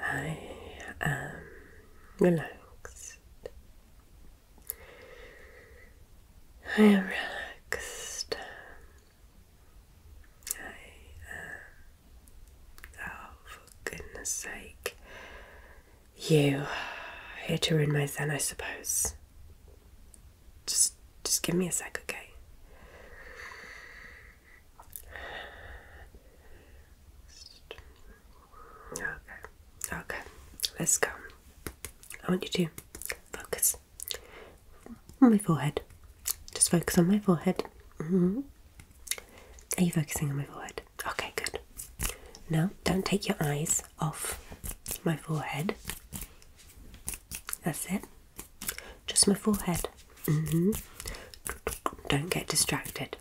I am relaxed. I am relaxed. Oh, for goodness sake. You here to ruin my zen, I suppose. Just, just give me a sec, okay? Okay, okay, let's go. I want you to focus on my forehead. Just focus on my forehead. Mm-hmm. Are you focusing on my forehead? Okay, good. Now, don't take your eyes off my forehead. That's it. Just my forehead. Mm-hmm. Don't get distracted.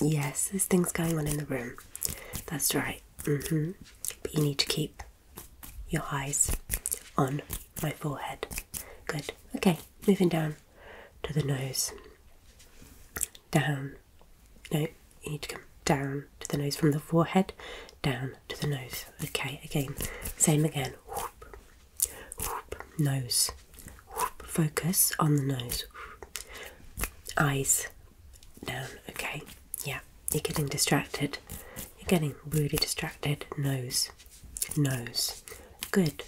Yes, there's things going on in the room. That's right. Mm-hmm. But you need to keep your eyes on my forehead. Good. Okay, moving down to the nose. Down. No, you need to come down to the nose from the forehead, down to the nose. Okay, again, same again nose. focus on the nose. Eyes down. Okay. Yeah. You're getting distracted. You're getting really distracted. Nose. Nose. Good.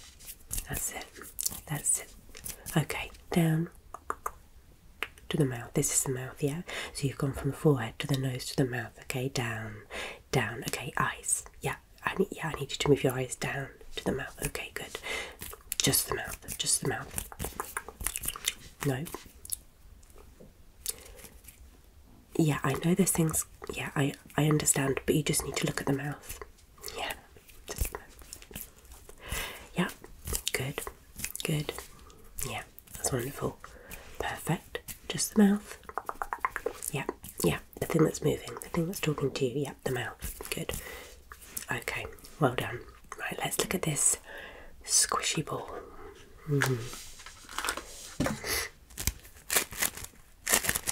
That's it. That's it. Okay. Down to the mouth. This is the mouth, yeah? So you've gone from the forehead to the nose to the mouth. Okay. Down down. Okay, eyes. Yeah, I need. Yeah, I need you to move your eyes down to the mouth. Okay, good. Just the mouth. Just the mouth. No. Yeah, I know there's things. Yeah, I I understand, but you just need to look at the mouth. Yeah. the mouth. Yeah. Good. Good. Yeah. That's wonderful. Perfect. Just the mouth. Yeah, yeah. The thing that's moving, the thing that's talking to you. Yeah, the mouth. Good. Okay, well done. Right, let's look at this squishy ball. Mm-hmm.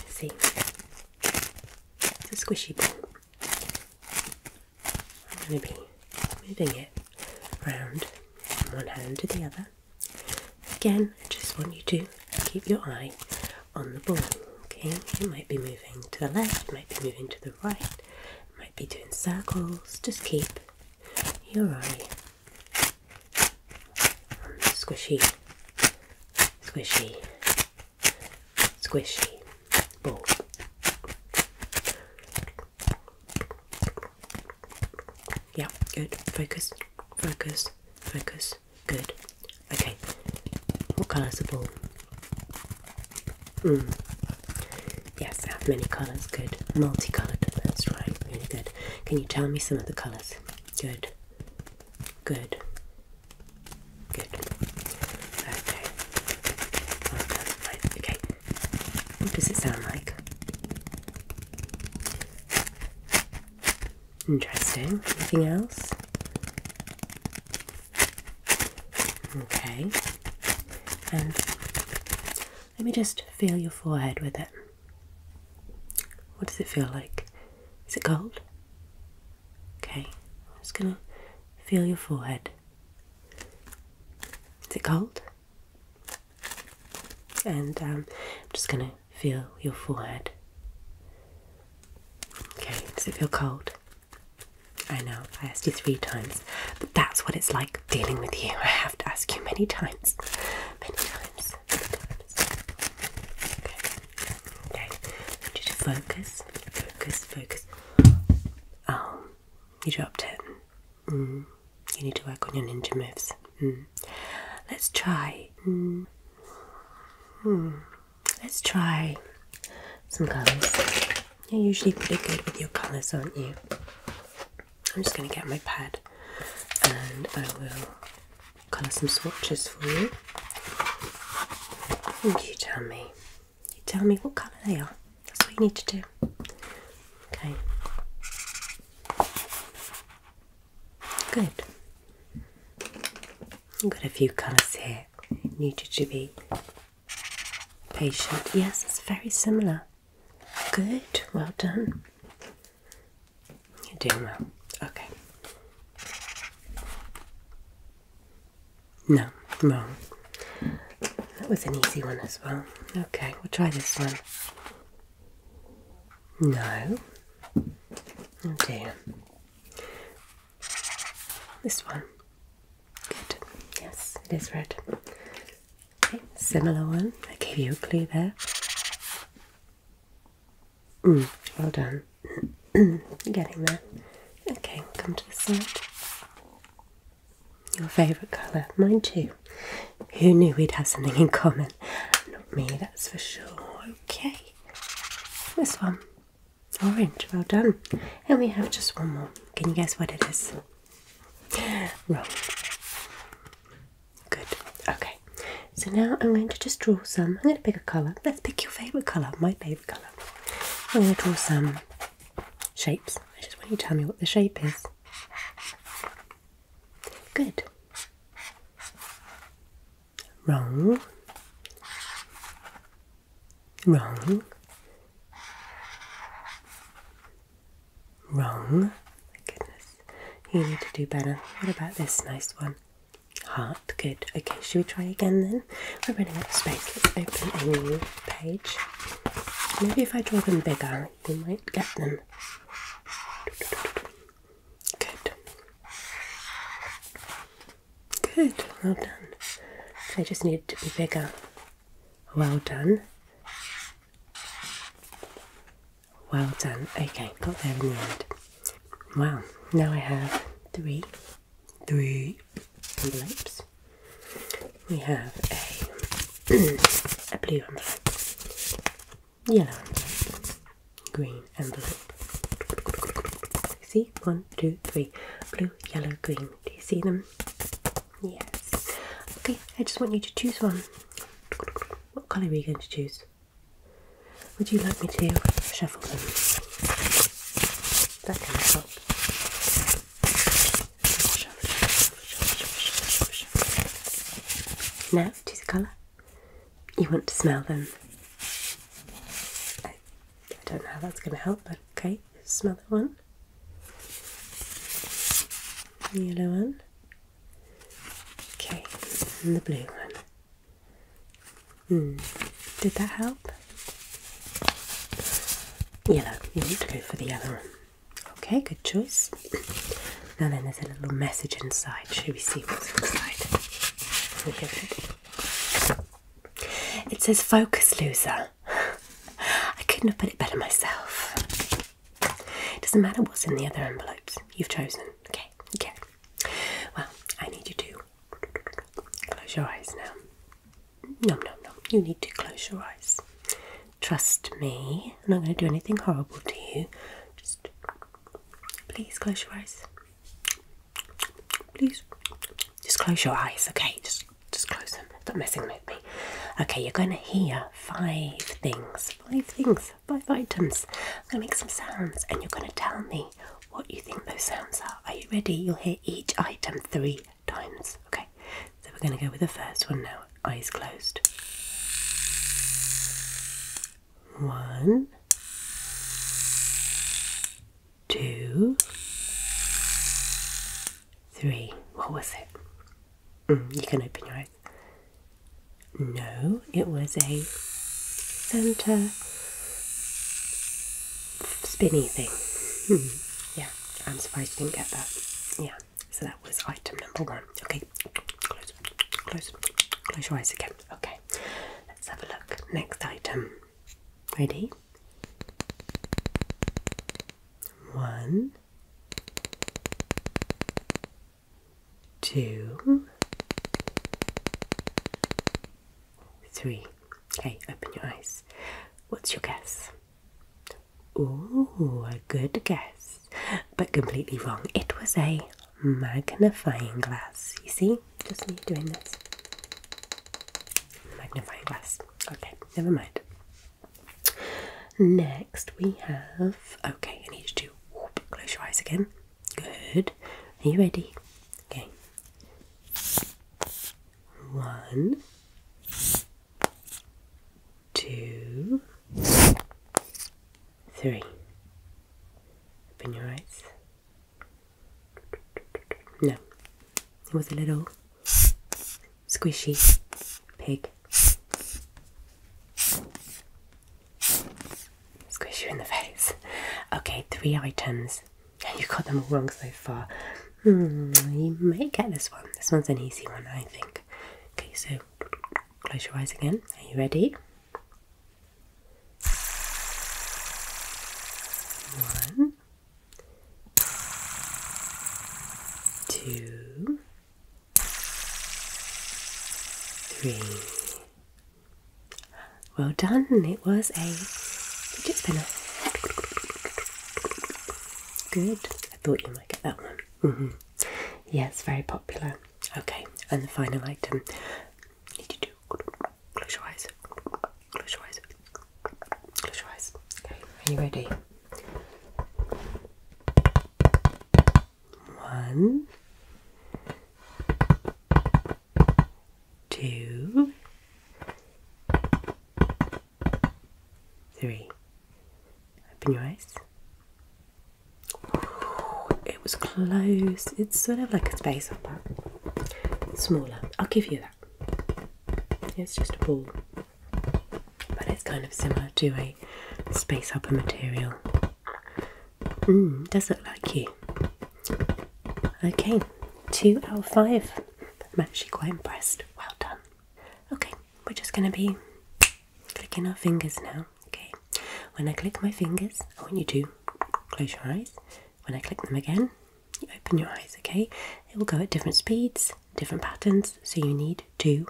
See, it's a squishy ball. I'm going to be moving it round from one hand to the other. Again, I just want you to keep your eye on the ball. Okay, you might be moving to the left, might be moving to the right, might be doing circles. Just keep your eye on the squishy, squishy, squishy ball. Yeah, good. Focus, focus, focus. Good. Okay. What colour's the ball? Mm. Yes, I have many colours. Good. Multicoloured. That's right. Really good. Can you tell me some of the colours? Good. Good. Good. Okay. Okay. What does it sound like? Interesting. Anything else? Okay. And let me just feel your forehead with it. What does it feel like? Is it cold? Okay. I'm just going to feel your forehead. Is it cold? And um, I'm just going to feel your forehead. Okay, does it feel cold? I know, I asked you three times, but that's what it's like dealing with you. I have to ask you many times. Many times. Okay. Okay. I you to focus. Focus, focus. Oh, you dropped it. Mm. You need to work on your ninja moves. Mm. Let's try. Mm. Hmm. Let's try some colours. You're usually pretty good with your colours, aren't you? I'm just going to get my pad and I will colour some swatches for you. And you tell me. You tell me what colour they are. That's what you need to do. Okay. Good. I've got a few colours here. I need you to be patient. Yes, it's very similar. Good. Well done. You're doing well. Okay. No, No. That was an easy one as well. Okay, we'll try this one. No. Oh dear. This one. Good. Yes, it is red. Okay, similar one. I gave you a clue there. Mm, well done. getting there. Okay, come to the side. Your favourite colour, mine too. Who knew we'd have something in common? Not me, that's for sure. Okay, this one, orange, well done. And we have just one more. Can you guess what it is? Wrong. Good, okay. So now I'm going to just draw some. I'm going to pick a colour. Let's pick your favourite colour, my favourite colour. I'm going to draw some shapes it's just when you tell me what the shape is. Good. Wrong. Wrong. Wrong. My goodness. You need to do better. What about this nice one? Heart. Good. Okay, should we try again then? We're running out of space. Let's open a new page. Maybe if I draw them bigger, we might get them. Good. Good. Well done. They just need to be bigger. Well done. Well done. Okay, got there in the end. Wow, now I have three, three envelopes. We have a, a blue envelope, yellow envelope, green envelope. See? One, two, three. Blue, yellow, green. Do you see them? Yes. Okay, I just want you to choose one. What colour are you going to choose? Would you like me to shuffle them? That can help. Now choose a colour. You want to smell them. I, don't know how that's going to help, but okay. Smell the one. The yellow one. Okay, and the blue one. Hmm. Did that help? Yellow. You need to go for the other one. Okay, good choice. Now then, there's a little message inside. Should we see what's inside? Here it. it says "Focus, loser." I couldn't have put it better myself. It doesn't matter what's in the other envelopes. You've chosen. Okay. Okay. Well, I need you to Close your eyes now. No, no, no. You need to close your eyes. Trust me. I'm not going to do anything horrible to you. Just please close your eyes. Please. Just close your eyes, okay? Just just close them. Stop messing with me. Okay, you're going to hear five things. Five things. Five items. I'm going to make some sounds and you're going to tell me what do you think those sounds are. Are you ready? You'll hear each item three times. Okay, so we're going to go with the first one now. Eyes closed. One, two, three. What was it? Mm, you can open your eyes. No, it was a center spinny thing. yeah, I'm surprised you didn't get that. Yeah, so that was item number one. Okay, close, close, close your eyes again. Okay, let's have a look. Next item. Ready? One, two, three. Okay, open your eyes. What's your guess? Ooh, a good guess, but completely wrong. It was a magnifying glass. You see? Just me doing this. Magnifying glass. Okay, never mind. Next we have. Okay, I need you to whoop, close your eyes again. Good. Are you ready? Okay. One, two, three. Open your eyes. No, it was a little squishy pig. Squish you in the face. Okay, three items. You got them all wrong so far. Hmm, you may get this one. This one's an easy one, I think. Okay, so close your eyes again. Are you ready? One, two, three, well done. It was a fidget spinner. Good. I thought you might get that one. Mm-hmm. Yes, very popular. Okay, and the final item. close your eyes. Close your eyes. Close your eyes. Okay, are you ready? One, two, three. Open your eyes. it was close. It's sort of like a space hopper. Smaller. I'll give you that. It's just a ball. But it's kind of similar to a space hopper material does it like you. Okay, two out of five. I'm actually quite impressed. Well done. Okay, we're just going to be clicking our fingers now. Okay, when I click my fingers, I want you to close your eyes. When I click them again, you open your eyes. Okay, it will go at different speeds, different patterns, so you need to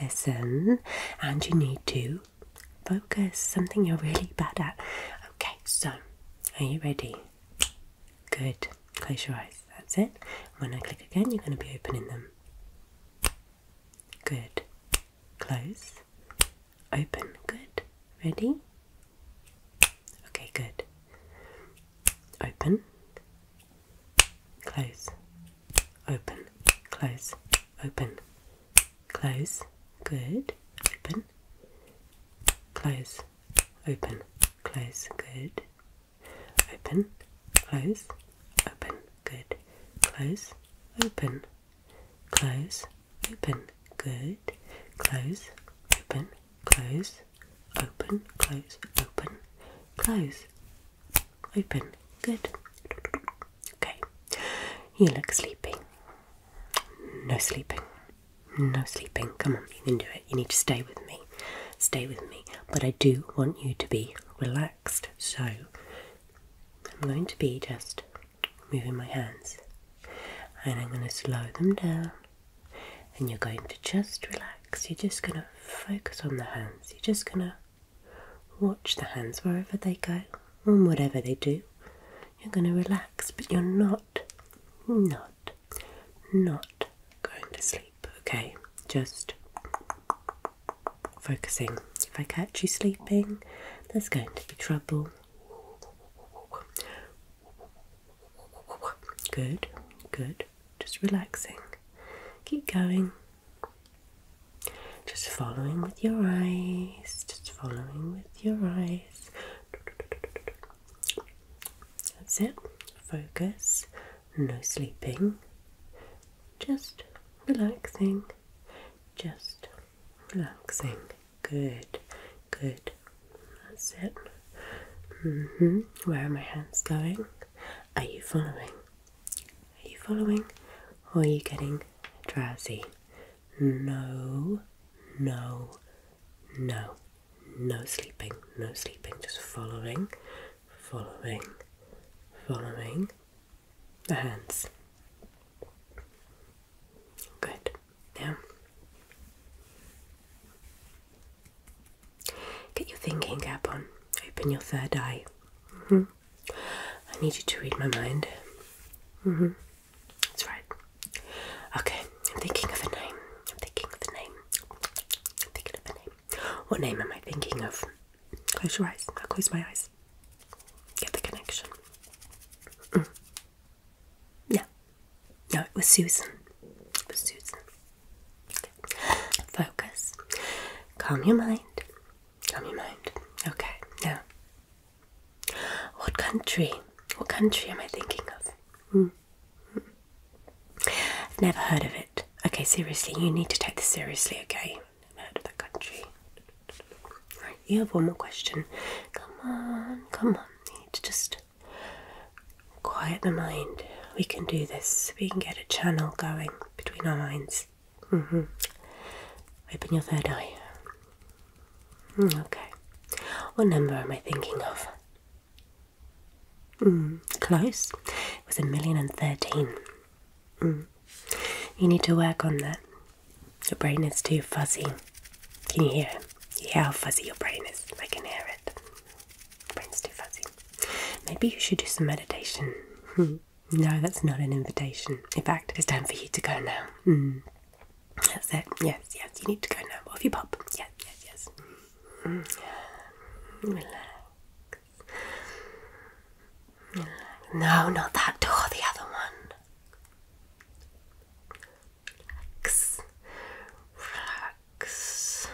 listen and you need to Focus, something you're really bad at. Okay, so are you ready? Good. Close your eyes. That's it. When I click again, you're going to be opening them. Good. Close. Open. Good. Ready? Okay, good. Open. Close. Open. Close open, close, good, open, close, open, close, good, open, close, open, good, close, open, close, open, good, close, open, close, open, close, open, close, Open. Good. Okay. You look sleepy. No sleeping. No sleeping. Come on, you can do it. You need to stay with me. Stay with me. But I do want you to be relaxed. So I'm going to be just moving my hands and I'm going to slow them down and you're going to just relax. You're just going to focus on the hands. You're just going to Watch the hands wherever they go and whatever they do. You're going to relax, but you're not, not, not going to sleep, okay? Just focusing. If I catch you sleeping, there's going to be trouble. Good, good. Just relaxing. Keep going. Just following with your eyes, just following with your eyes. That's it. Focus, no sleeping, just relaxing, just relaxing. Good, good. That's it. Mm-hmm. Where are my hands going? Are you following? Are you following? Or are you getting drowsy? No, no, no, no sleeping, no sleeping, just following, following, following the hands. Good. Now, get your thinking cap on, open your third eye. Mm -hmm. I need you to read my mind. Mm -hmm. That's right. Okay, I'm thinking of a name. I'm thinking of a name. I'm thinking of a name. What name am I thinking of? Close your eyes. I'll close my eyes. Get the connection. Yeah. Mm. Yeah. No, it was Susan. It was Susan. Focus. Calm your mind. Calm your mind. Okay, now. What country? What country am I thinking of? Hmm. never heard of it. Okay, seriously, you need to take this seriously, okay? Never heard of that country. Right, you have one more question. Come on, come on. need to just quiet the mind. We can do this. We can get a channel going between our minds. Mm-hmm. Open your third eye. Mm, okay. What number am I thinking of? Mm, close. It was a million and thirteen. Mm. You need to work on that. Your brain is too fuzzy. Can you hear it? You hear how fuzzy your brain is? I can hear it brain's too fuzzy. Maybe you should do some meditation. Hmm. no, that's not an invitation. In fact, it's time for you to go now. Hmm. That's it. Yes, yes, you need to go now. Off you pop. Yes, yes, yes. Relax. Hmm. Relax. No, not that door, the other one. Relax. Relax.